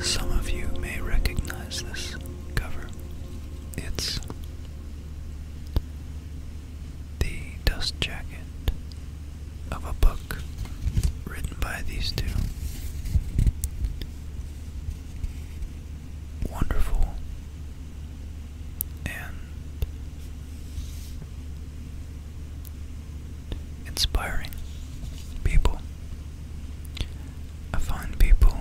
Some of you may recognize this cover. It's the dust jacket of a book written by these two. Wonderful and inspiring people. I find people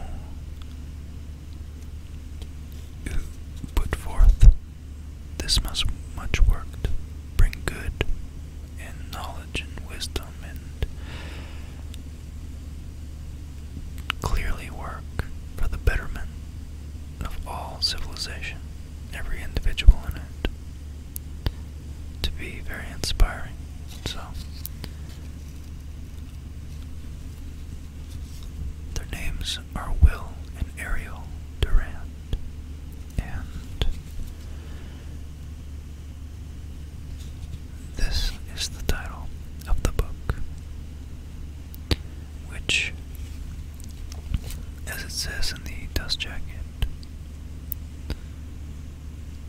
who put forth this much much work to bring good and knowledge and wisdom and clearly work for the betterment of all civilization, every individual in it, to be very inspiring. So, their names are Will and Ariel Durant, and this is the title of the book which, as it says in the dust jacket,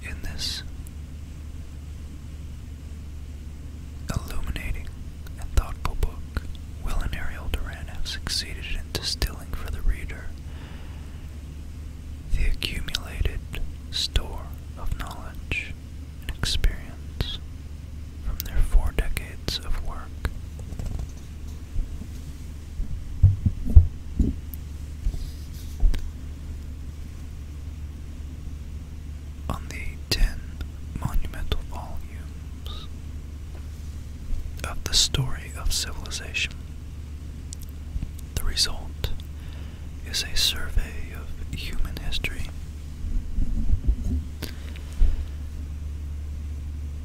in this illuminating and thoughtful book, Will and Ariel Duran have succeeded in distilling for the reader the accumulated store of knowledge and experience from their four decades of work. On the ten monumental volumes of the story of civilization, the result is a survey of human history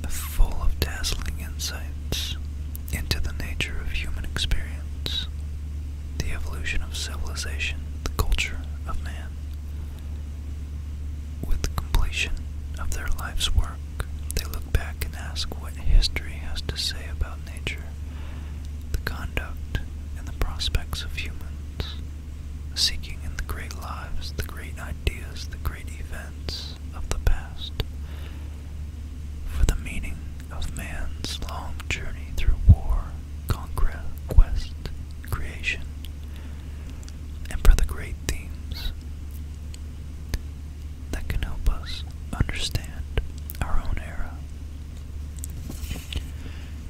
full of dazzling insights into the nature of human experience, the evolution of civilization, the culture of man. With the completion of their life's work, they look back and ask what history has to say about nature, the conduct, and the prospects of humans seeking in the great lives, the great ideas, the great events of the past for the meaning of man's long journey through war, conquest, creation, and for the great themes that can help us understand our own era.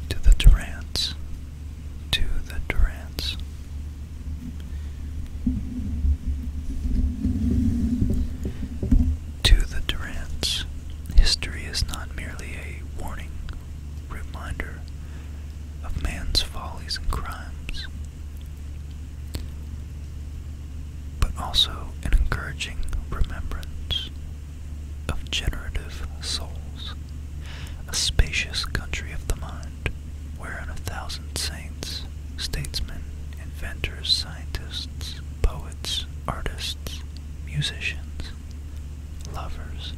To the Durants, to the Durants. To the Durants, history is not merely a warning, reminder of man's follies and crimes, but also an encouraging remembrance of generative souls, a spacious country of the mind wherein a thousand saints, statesmen, inventors, scientists, poets, artists, musicians, lovers,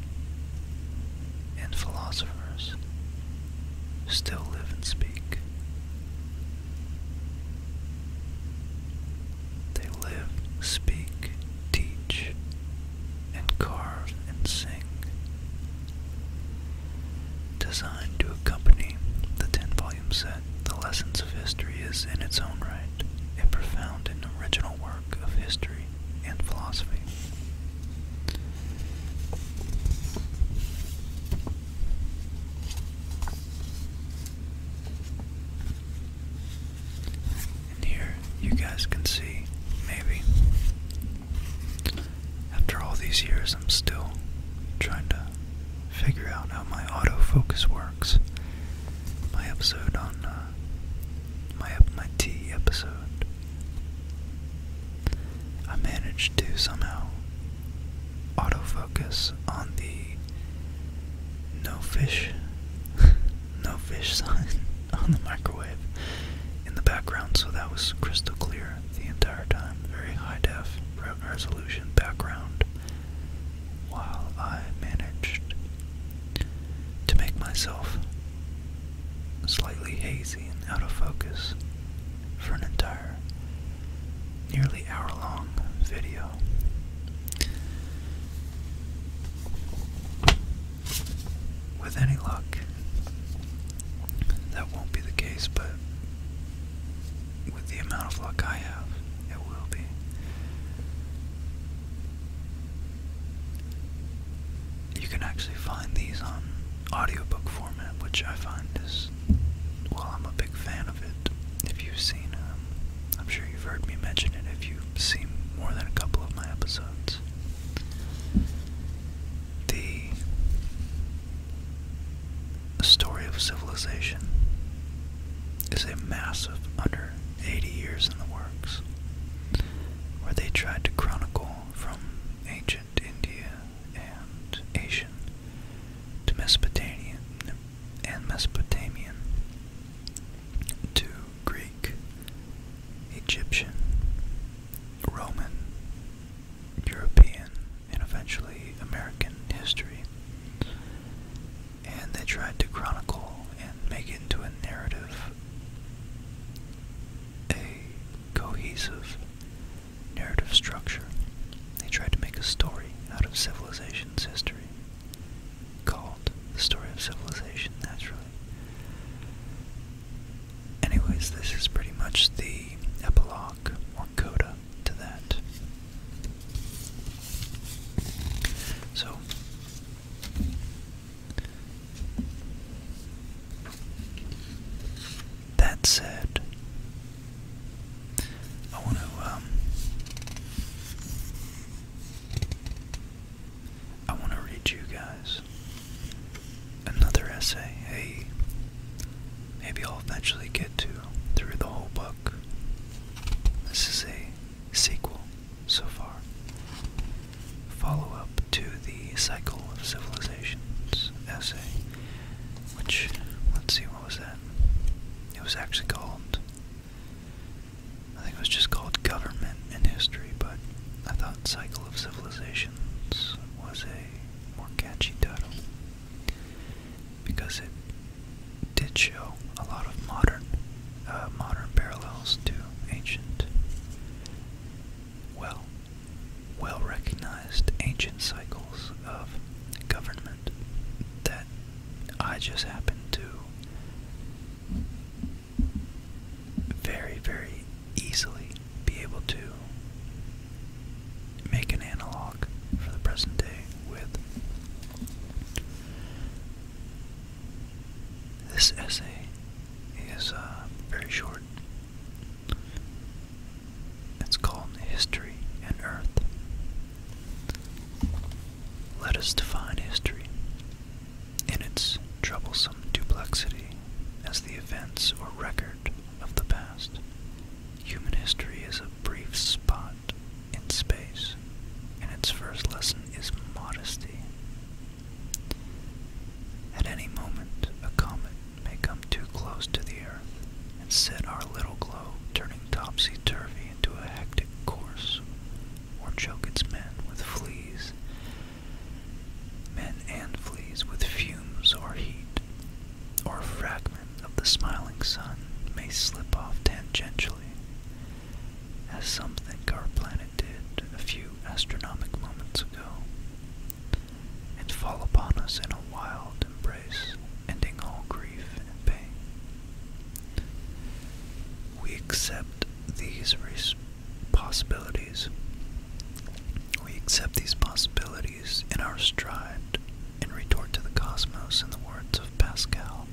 and philosophers still live and speak. They live, speak, teach, and carve and sing. Designed to accompany the 10 volume set, The Lessons of History is, in its own right, a profound and original work of history and philosophy here you guys can see, maybe. After all these years, I'm still trying to figure out how my autofocus works. My episode on uh, my my tea episode. I managed to somehow autofocus on the no fish, no fish sign on the microwave in the background, so that was crystal clear the entire time. Very high def resolution background while I managed to make myself slightly hazy and out of focus for an entire nearly hour long video. With any luck, that won't be the case, but with the amount of luck I have, it will be. You can actually find these on audiobook format, which I find is, well, I'm a big fan of it. If you've seen, um, I'm sure you've heard me mention it if you've seen more than a couple of my episodes. The story of civilization is a massive under 80 years in the works where they tried to chronicle from ancient India and Asian to Mesopotamian and Mesopotamian to Greek, Egyptian, Roman, European, and eventually American history. And they tried to chronicle and make it into a narrative, a cohesive narrative structure. They tried to make a story out of civilization's history, called The Story of Civilization, naturally. Anyways, this is pretty much the epilogue or coda to that. So, that said, I want to, um, I want to read you guys another essay. Hey, maybe I'll eventually get to through the whole book. This is a sequel so far. Follow up to the Cycle of Civilizations essay, which, let's see, what was that? It was actually called, I think it was just called Government in history, but I thought Cycle of Civilizations was a more catchy title because it did show a lot of modern, uh, modern parallels to ancient, well, well-recognized ancient cycles of government that I just happened to very, very easily be able to make an analog for the present day with this essay is uh, very short. It's called History and Earth. Let us define history in its troublesome duplexity as the events or record of the past. Human history is a brief spot in space, and its first lesson is modesty. At any moment, a comet may come too close to the Earth and set our little globe turning topsy turvy into a hectic course, or choke its men with fleas Men and fleas with fumes or heat, or fragment of the smiling sun may slip off tangentially, as some our planet did a few astronomic moments ago, and fall upon us in a wild embrace, ending all grief and pain. We accept these res possibilities. We accept these possibilities in our stride and retort to the cosmos in the words of Pascal.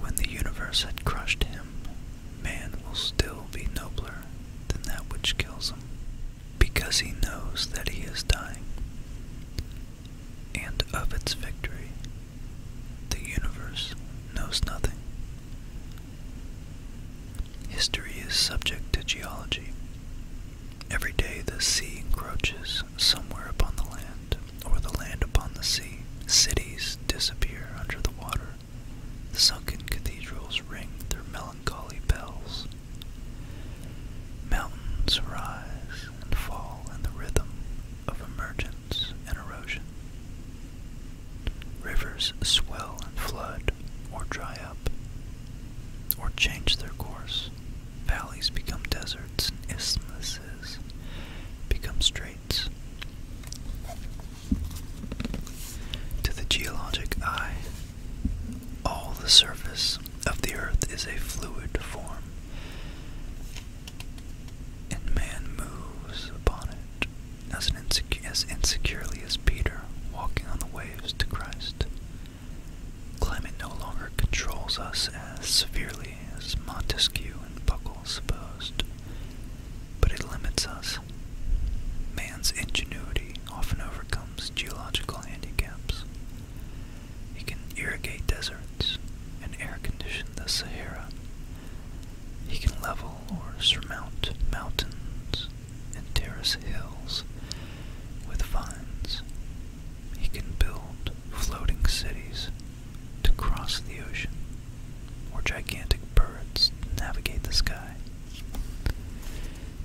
When the universe had crushed him, man will still be nobler than that which kills him, because he knows that he is dying. And of its victory, the universe knows nothing. History is subject to geology. Every day the sea encroaches somewhere upon the land, or the land upon the sea. Cities disappear under the water. sunken cathedrals ring their melancholy bells. Mountains rise and fall in the rhythm of emergence and erosion. Rivers swell and flood, or dry up, or change their course. Valleys become deserts, and isthmuses become straits. To the geologic eye, all the surface of the earth is a fluid form and man moves upon it as, as insecurely as Peter walking on the waves to Christ. Climate no longer controls us as severely as Montesquieu and Buckle supposed, but it limits us. Man's ingenuity often overcomes geological handicaps. He can irrigate deserts and air condition the Sahara. He can level or surmount mountains and terrace hills with vines. He can build floating cities to cross the ocean or gigantic birds navigate the sky.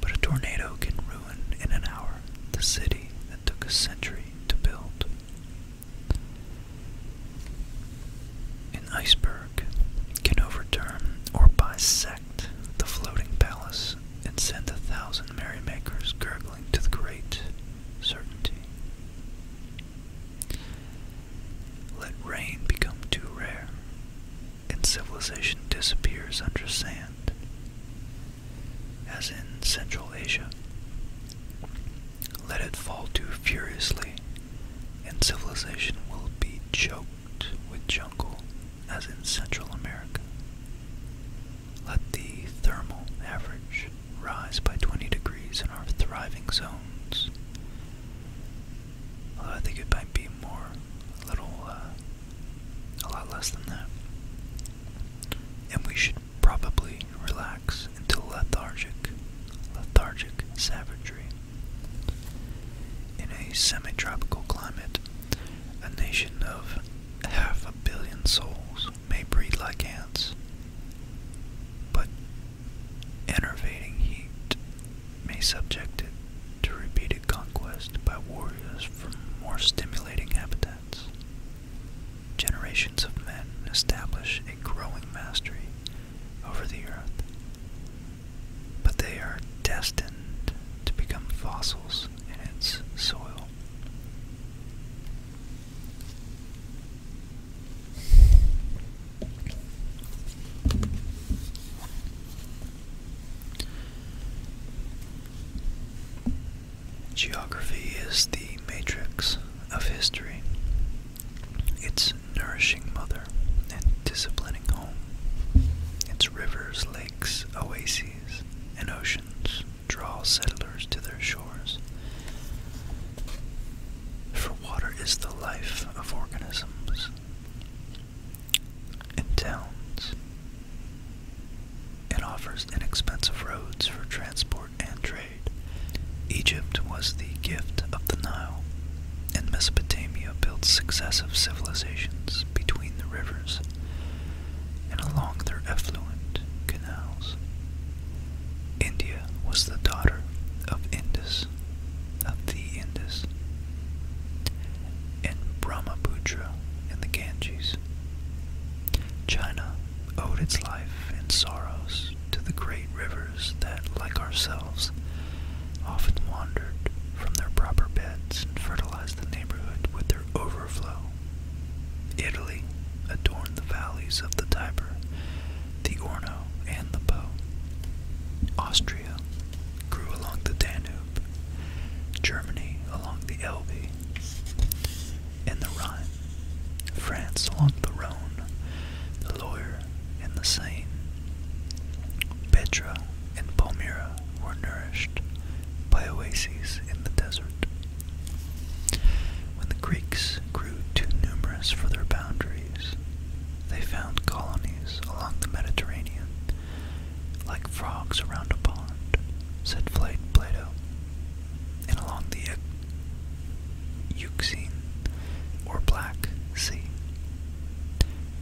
But a tornado can ruin in an hour the city that took a century to build. An iceberg can overturn or bisect the floating palace and send a thousand merrymakers gurgling to the great certainty. Let rain become too rare, and civilization disappears under sand, as in Central Asia. Let it fall too furiously and civilization will be choked with jungle as in Central America. Let the thermal average rise by 20 degrees in our thriving zones. Although I think it might be more, a little, uh, a lot less than that. And we should probably relax into lethargic, lethargic savagery. In a semi-tropical climate, a nation of half a billion souls may breed like ants, but enervating heat may subject it to repeated conquest by warriors from more stimulating habitats. Generations of men establish a growing mastery over the earth, but they are destined to become fossils in its soil. Geography is the matrix of history. Its nourishing mother and disciplining home. Its rivers, lakes, oases, and oceans draw settlers to their shores. For water is the life of organisms. and towns, it offers inexpensive roads for transport and trade. Egypt was the gift of the Nile, and Mesopotamia built successive civilizations between the rivers and along their effluent canals. India was the daughter of Indus, of the Indus, and Brahmaputra and the Ganges. China owed its life and sorrows to the great rivers that, like ourselves, often wandered from their proper beds and fertilized the neighborhood with their overflow. Italy adorned the valleys of the Tiber, the Orno, and the Po. Austria grew along the Danube, Germany along the Elbe and the Rhine, France along the Rhone, the Loire, Jupiter and the Seine. Petra and Palmyra were nourished by oases in the desert. When the Greeks grew too numerous for their boundaries, they found colonies along the Mediterranean, like frogs around a pond, said Plato, and along the Euxine, or Black Sea.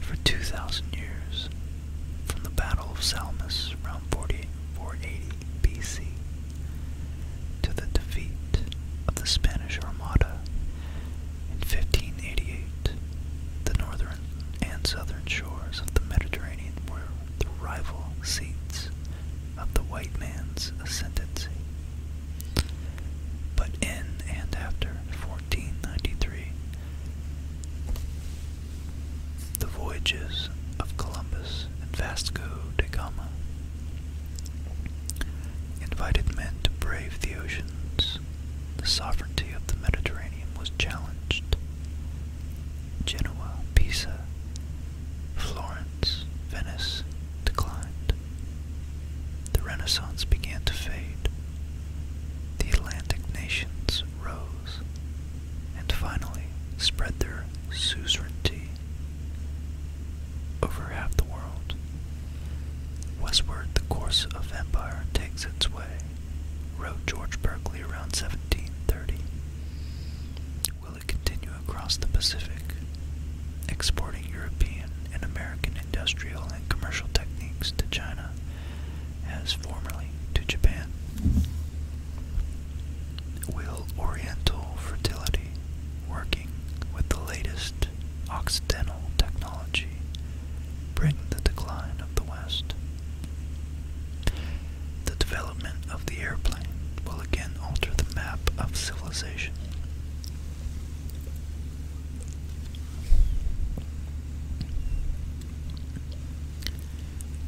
For 2,000 years, from the Battle of Salamis around 40, BC to the defeat of the Spanish Armada in 1588, the northern and southern shores of the Mediterranean were the rival seats of the white man's ascendancy. But in and after 1493, the voyages of Columbus and Vasco da Gama invited men to brave the oceans. The sovereignty of the Mediterranean was challenged. Genoa, Pisa, Florence, Venice declined. The Renaissance began to fade. The Atlantic nations rose and finally spread their suzerainty over half the world. Westward, the course of empire takes its way, wrote George Berkeley around 1730. Will it continue? across the Pacific, exporting European and American industrial and commercial techniques to China as formerly to Japan. Will Oriental Fertility, working with the latest Occidental technology, bring the decline of the West? The development of the airplane will again alter the map of civilization.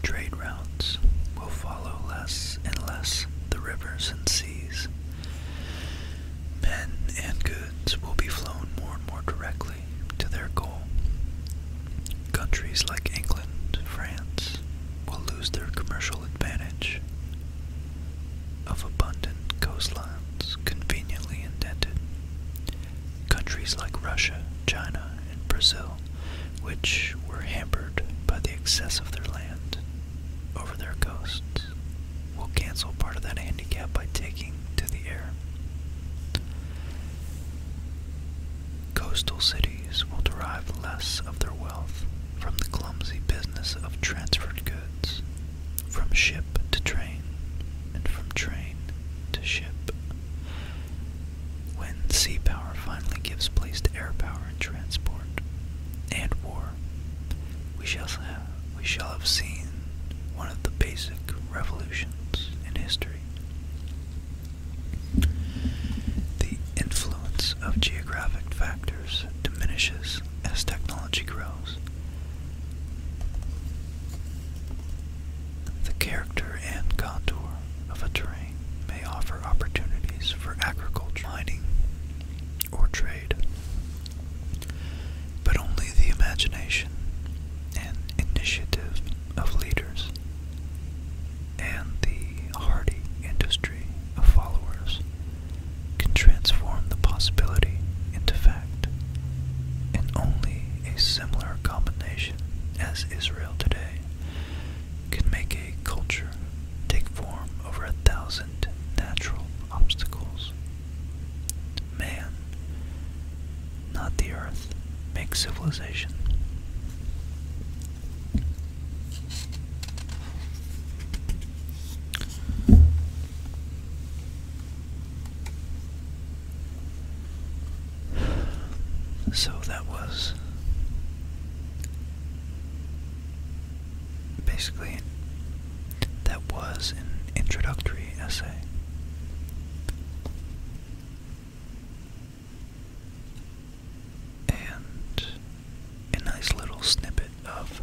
Trade routes will follow less and less the rivers and seas. Men and goods will be flown more and more directly to their goal. Countries like England, France, will lose their commercial advantage of abundant coastlines conveniently indented. Countries like Russia, China, and Brazil, which were hampered by the excess of their land over their coasts, will cancel part of that handicap by taking to the air. Coastal cities will derive less of their wealth from the clumsy business of transferred goods, from ship to train, and from train to ship. When sea power finally gives place to air power in transport and war, we shall have, we shall have seen one of the basic revolutions in history. The influence of geographic factors diminishes as technology grows. The character and contour of a terrain may offer opportunities for agriculture, mining, or trade, but only the imagination and initiative of leaders and the hardy industry of followers can transform the possibility into fact, and only a similar combination as Israel today can make a culture take form over a thousand natural obstacles. Man, not the earth, makes civilization. So that was basically that was an introductory essay. And a nice little snippet of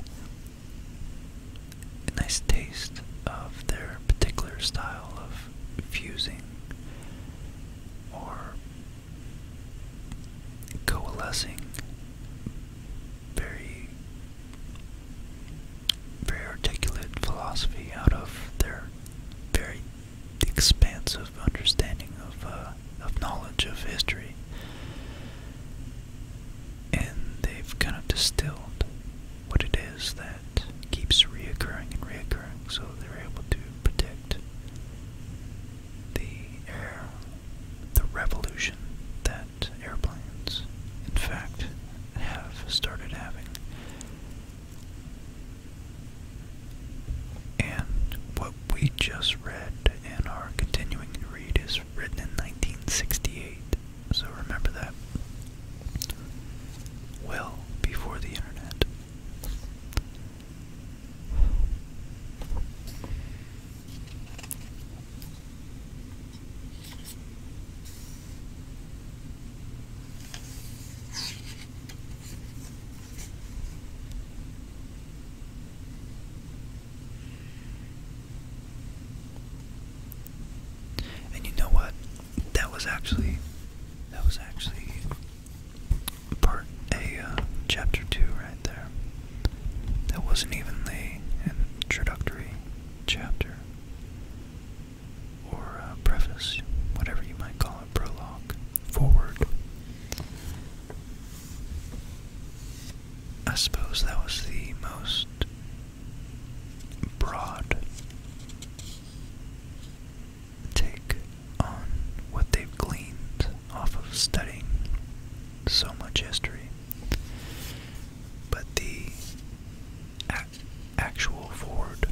a nice taste of their particular style of fusing or coalescing very very articulate philosophy out of their very expansive understanding of uh, of knowledge of history. And they've kind of distilled what it is that keeps reoccurring and reoccurring, so they're able to predict the air, the revolution that airplanes, in fact, have started having. And what we just read and our continuing read is written in 1968, so remember that. Well before the internet. And you know what? That was actually that was actually part a uh, chapter two right there. That wasn't even the introductory chapter or uh, preface, whatever you might call it, prologue, forward. I suppose that was the most broad take on what they've gleaned off of studying so much history. But the actual Ford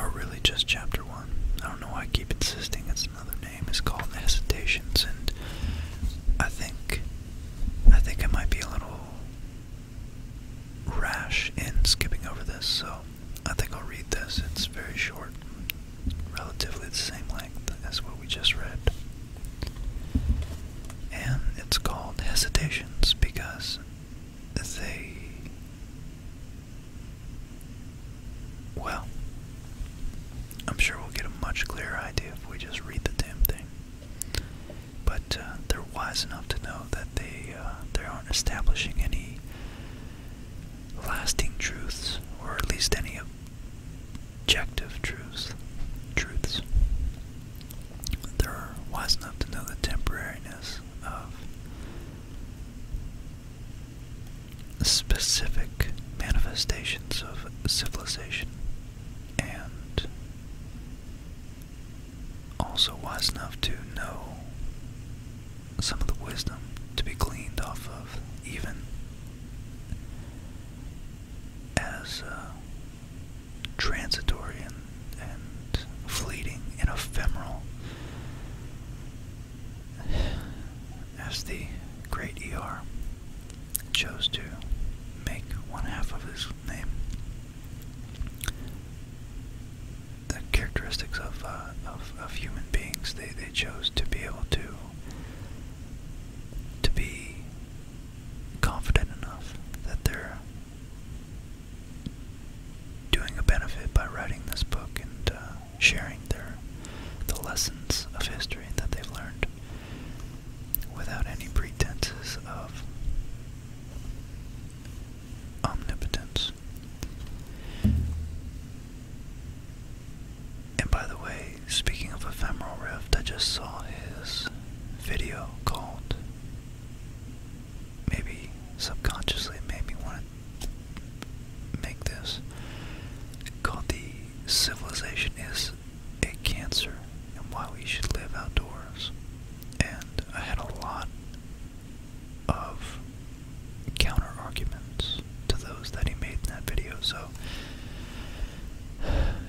or really just chapter one. I don't know why I keep insisting it's another name. It's called Hesitations, and I think I think I might be a little rash in skipping over this, so I think I'll read this. It's very short, relatively the same length as what we just read. And it's called Hesitations because they well, I'm sure we'll get a much clearer idea if we just read the damn thing. But uh, they're wise enough to know that they uh, they aren't establishing any lasting truths, or at least any objective truths. Truths. They're wise enough to know the temporariness of specific manifestations of civilization and also wise enough to know some of the wisdom to be gleaned off of even as uh, transitory and fleeting and ephemeral as the great ER chose to make one half of his name. The characteristics of, uh, of, of human beings, they, they chose to be able to to be confident enough that they're doing a benefit by writing this book and uh, sharing their the lessons of history that they've learned without any pretenses of omnipotence. And by the way, speaking of ephemeral rift, I just saw his video called Maybe Subconsciously maybe one. Want make this. Called the civilization is a cancer and why we should live outdoors. And I had a lot of counter arguments to those that he made in that video. So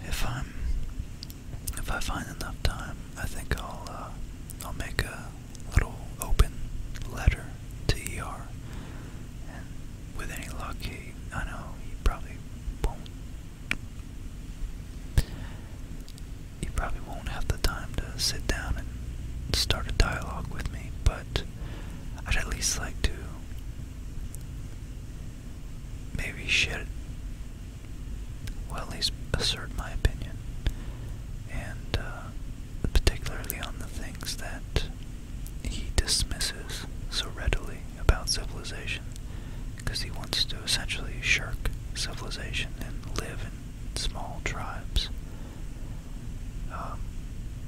if I'm if I find enough time, I think I'll uh, I'll make a little open letter to ER. And with any luck, he, I know he probably won't. He probably won't have the time to sit down and start a dialogue with me, but I'd at least like to maybe shed, well, at least assert my opinion and uh, particularly on the things that he dismisses so readily about civilization, because he wants to essentially shirk civilization and live in small tribes. Um,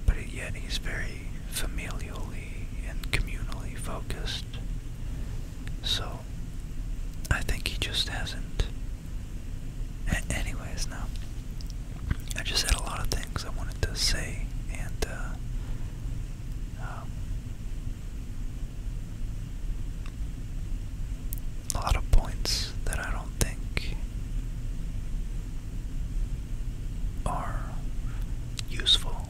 but yet he's very familially and communally focused. So I think he just hasn't a anyways, now I just had a lot of things I wanted to say, and uh, um, a lot of points that I don't think are useful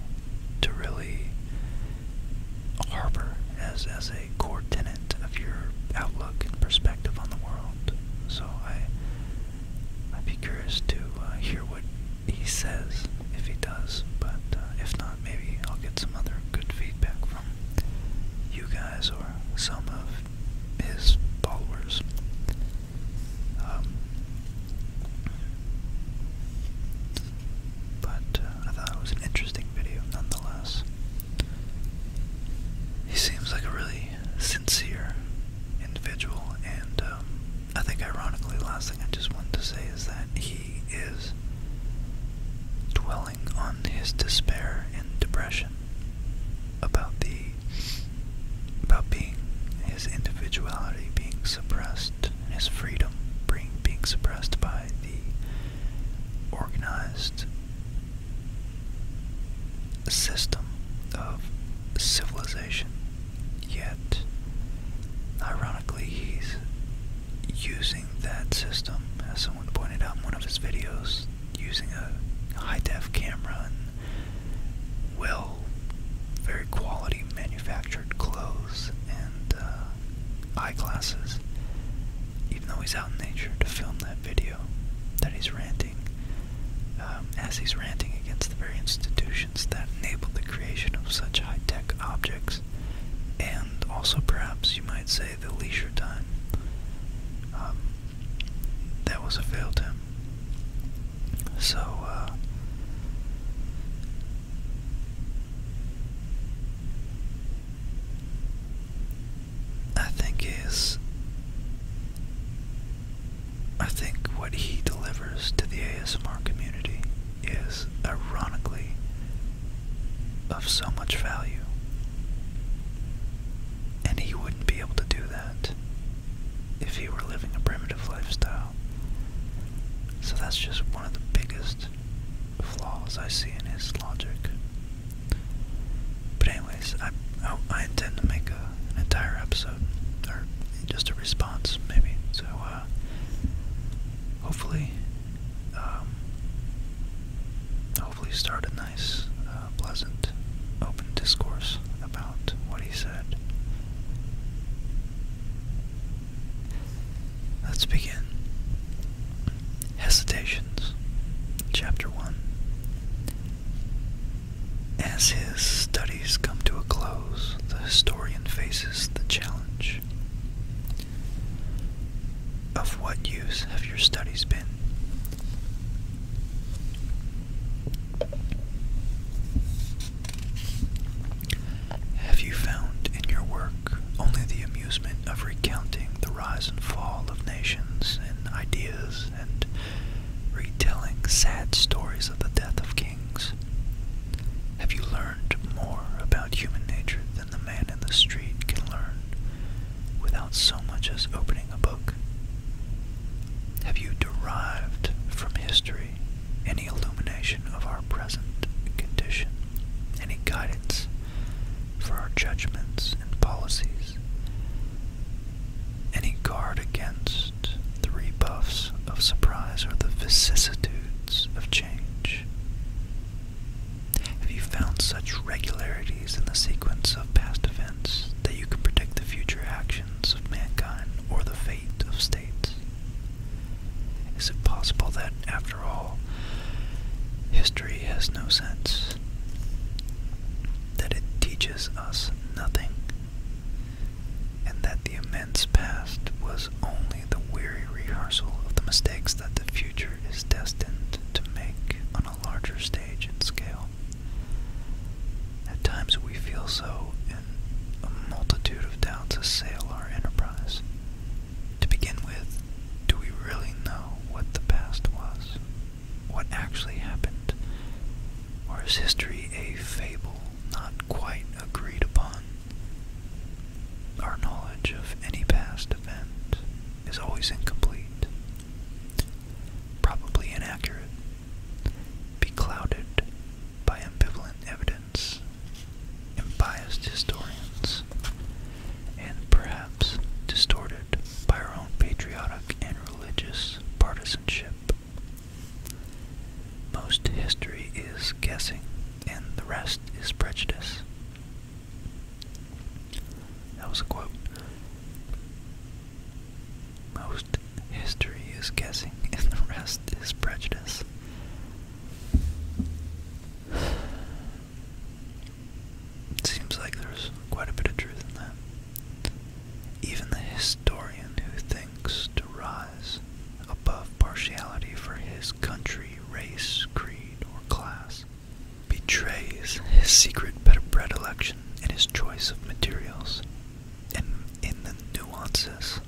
to really harbor as as a core tenet of your outlook and perspective on the world. So I, I'd be curious to uh, hear what he says, if he does. But uh, if not, maybe I'll get some other good feedback from you guys or some of his followers. Um, but uh, I thought it was an interesting video nonetheless. He seems like a really sincere individual, and um, I think, ironically, last thing I just wanted to say is that he is dwelling on his despair and depression about the about being his individuality being suppressed, his freedom being being suppressed by the organized system of civilization. Yet, ironically, he's using that system, as someone pointed out in one of his videos, using a high def camera and well, very quality manufactured clothes and uh, eyeglasses, even though he's out in nature to film that video video that he's ranting um, as he's ranting against the very institutions that enabled the creation of such high-tech objects and also perhaps you might say the leisure time um, that was a fail to him so uh, I think is I think what he delivers to the ASMR community is ironically of so much value. And he wouldn't be able to do that if he were living a primitive lifestyle. So that's just one of the biggest flaws I see in his logic. But anyways, I I, I intend to make an entire episode or just a response maybe. So uh, hopefully, um, hopefully start a nice, uh, pleasant, open discourse about what he said. Let's begin. Hesitations, Chapter 1. As his studies come to a close, the historian faces the challenge. Of what use have your studies been? Have you found in your work only the amusement of recounting the rise and fall of nations and ideas and retelling sad stories of the death of kings? Have you learned more about human nature than the man in the street can learn without so much as opening a book? Have you derived from history any illumination of our present condition, any guidance for our judgments and policies, any guard against the rebuffs of surprise or the vicissitudes of change. Have you found such regularities in the sequence of past events that you can predict the future actions of mankind or the fate of states? Is it possible that, after all, history has no sense? that it teaches us nothing, and that the immense past was only the weary rehearsal of the mistakes that the future is destined to make on a larger stage and scale. At times we feel so, and a multitude of doubts assail our enterprise. To begin with, do we really know what the past was? what actually happened? Or is history a fable not quite agreed upon? Our knowledge of any past event is always incomplete, probably inaccurate, beclouded by ambivalent evidence, and biased historians, and perhaps distorted by our own patriotic and religious partisanship. Most history is guessing, and the rest is prejudice. That was a quote. Most history is guessing, and the rest is prejudice. It seems like there's quite a bit of truth in that. Even the historian who thinks to rise above partiality for his country, race, creed, or class betrays his secret better predilection in his choice of materials and in the nuances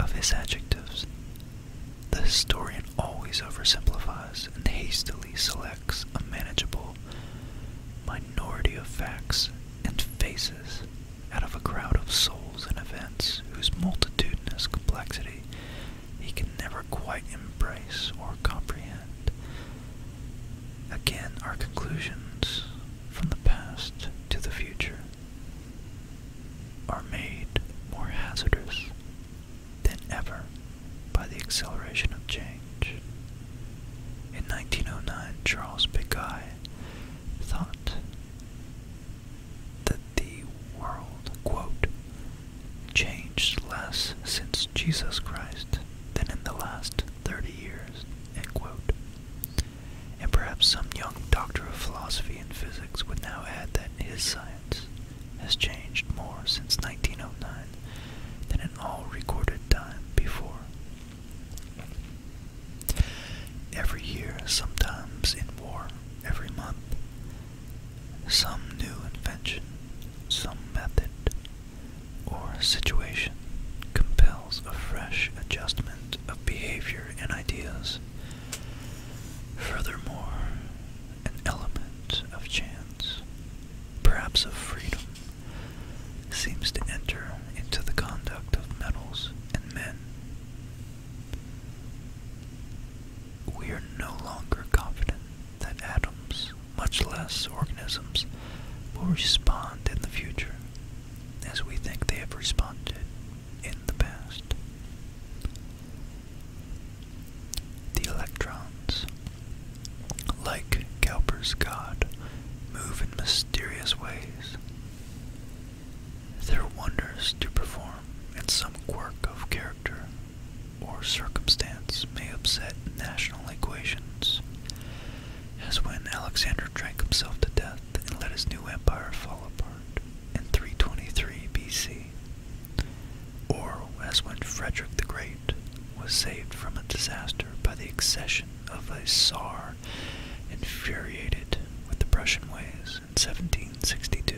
of his adjectives. The historian always oversimplifies and hastily selects a manageable minority of facts and faces out of a crowd of souls and events whose multitudinous complexity he can never quite embrace or comprehend. Again, our conclusions from the past to the future are made more hazardous than ever by the acceleration of change. In 1909, Charles Biggai thought that the world, changed less since Jesus Christ than in the last 30 years, And perhaps some young doctor of philosophy in physics would now add that his science has changed more since 1909 than in all recorded time before. Every year, sometimes in war, every month, some new invention, some method, or situation compels a fresh adjustment of behavior and ideas. Furthermore, an element of chance, perhaps of freedom, seems to enter into the conduct of metals and men. We are no longer confident that atoms, much less organisms, will respond in the future as we think they have responded in the past. The electrons, like Cowper's god, move in mysterious ways. Their wonders to perform and some quirk of character or circumstance may upset national equations, as when Alexander drank himself to death and let his new empire fall apart in 323 BC. Or as when Frederick the Great was saved from a disaster by the accession of a Tsar infuriated with the Prussian ways in 1762.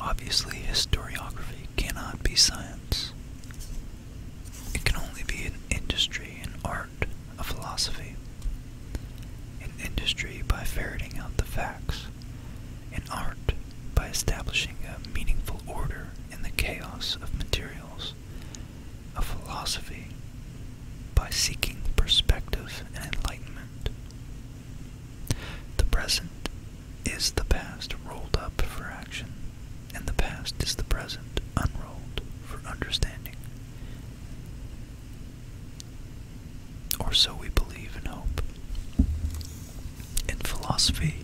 Obviously, historiography cannot be science. It can only be an industry, an art, a philosophy. An industry by ferreting out the facts, in art by establishing a meaningful order in the chaos of materials, a philosophy by seeking perspective and enlightenment. The present is the past rolled up for action, and the past is the present unrolled for understanding or so we believe and hope. In philosophy,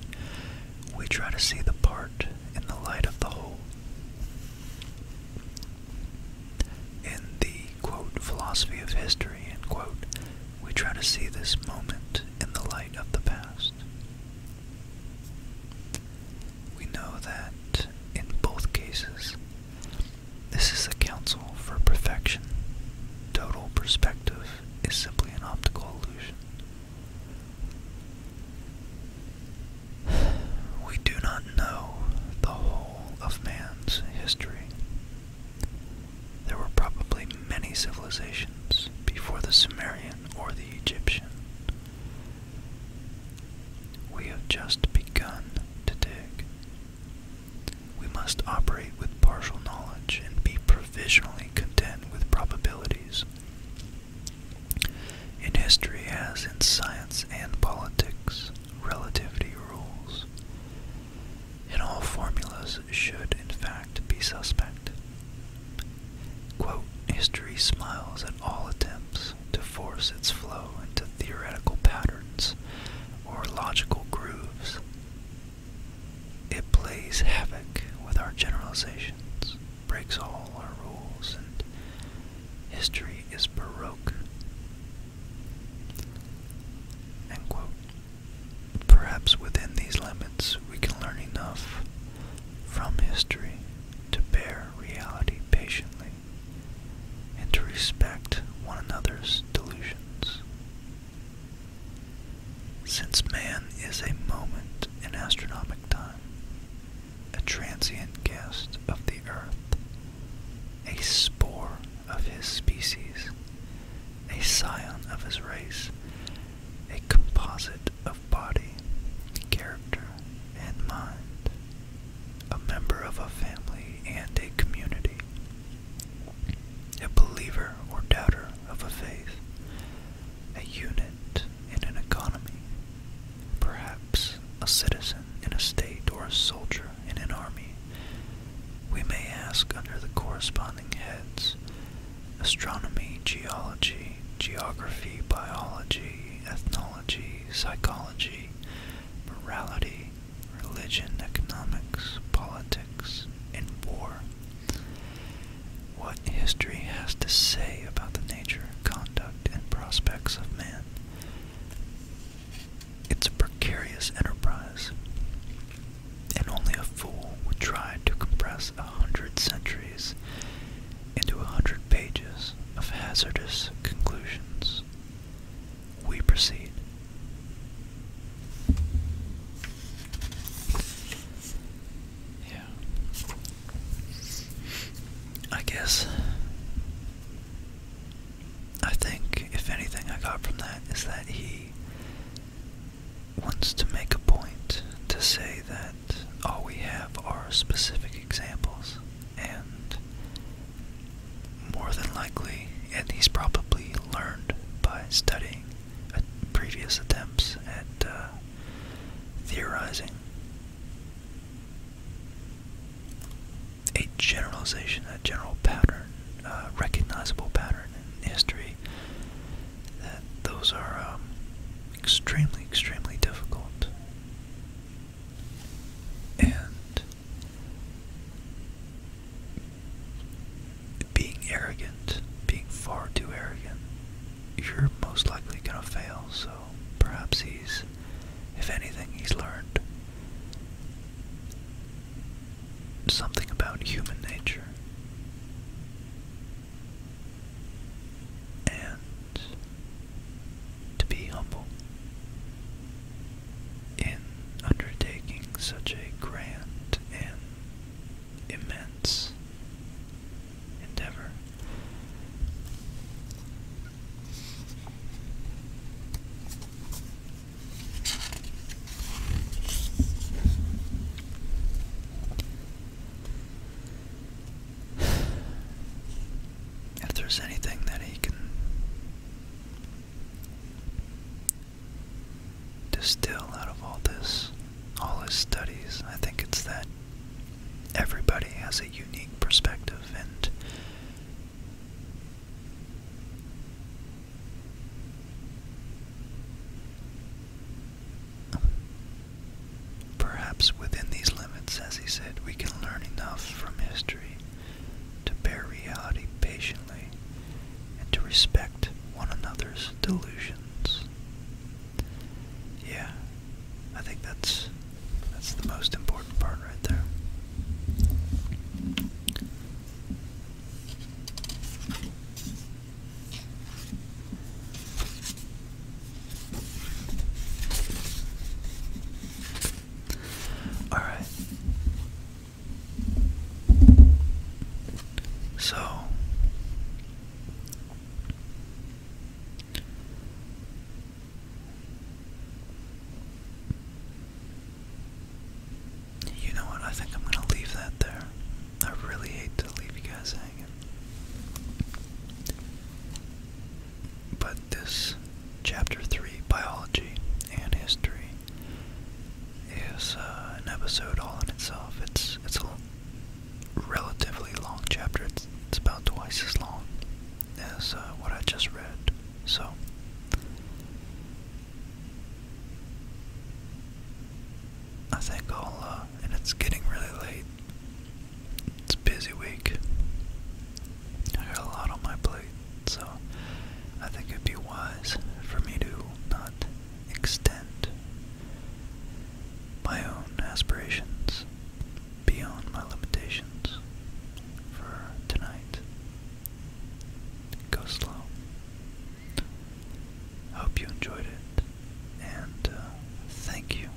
we try to see the part in the light of the whole. In the quote, philosophy of history, end quote, we try to see this moment in the light of the past. We know that in both cases, this is a counsel for perfection, total perspective, is simply an optical illusion. We do not know the whole of man's history. There were probably many civilizations before the Sumerian or the Egyptian. We have just begun to dig. We must operate with partial knowledge and be provisionally content with probabilities. In history, as in science and politics, relativity rules. And all formulas should, in fact, be suspect. History smiles at all attempts to force its flow into theoretical patterns or logical grooves. It plays havoc with our generalizations, breaks all our rules, and history is baroque. Perhaps within these limits we can learn enough from history to bear reality patiently and to respect one another's delusions. Since man is a moment in astronomical time, a transient guest of the earth, a spore of his species, a scion of his race, a composite of body, character, and mind, a member of a family and a community, a believer or doubter of a faith, a unit in an economy, perhaps a citizen in a state or a soldier in an army. We may ask under the corresponding heads astronomy, geology, geography, biology, ethnology, psychology, morality, religion, economics, politics, and war. What history has to say about the nature, conduct, and prospects of man. It's a precarious enterprise, and only a fool would try to compress a hundred centuries into a hundred pages of hazardous conclusions we proceed. Yeah. I guess. I think, if anything, I got from that is that he wants to make a point to say that all we have are specific examples, and more than likely, and he's probably learned by studying uh, previous attempts at uh, theorizing. A generalization, a general pattern, uh, recognizable pattern in history, that those are um, extremely, extremely difficult. And being arrogant, being far too arrogant, you're most likely going to fail. So perhaps he's, if anything, he's learned something about human nature. And to be humble. In undertaking such a grand and immense endeavor, if there's anything that he can distill out of all this, all his studies, I think it's that everybody has a unique perspective and Perhaps within these limits, as he said, we can learn enough from history to bear reality patiently, and to respect one another's delusions. Yeah, I think that's that's the most important part right there. All right. So you know what? I think I'm going to leave that there. I really hate to leave you guys hanging. But this chapter 3 biology and history is uh, an episode all in itself. It's it's a relatively long chapter. It's, it's about twice as long as uh, what I just read. So. I think I'll, uh, and it's getting really late. It's a busy week. I got a lot on my plate. So I think it'd be wise for me to not extend my own aspirations beyond my limitations for tonight. Go slow. I hope you enjoyed it, and uh, thank you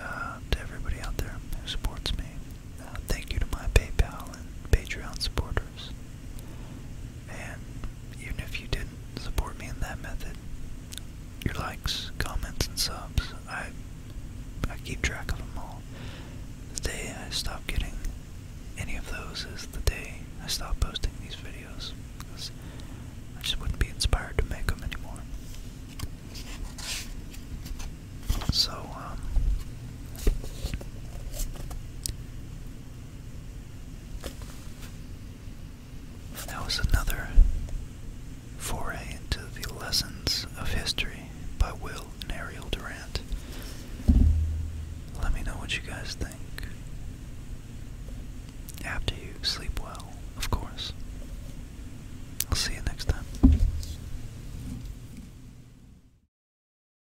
uh, to everybody out there who supports me. Uh, thank you to my PayPal and Patreon supporters. And even if you didn't support me in that method, your likes, comments, and subs, I, I keep track of them all. The day I stop getting any of those is the day I stop posting these videos. Because I just wouldn't be inspired to make them anymore. So, um, that was another foray into the lessons of history by Will and Ariel Durant. Let me know what you guys think. After you sleep well, of course. I'll see you next time.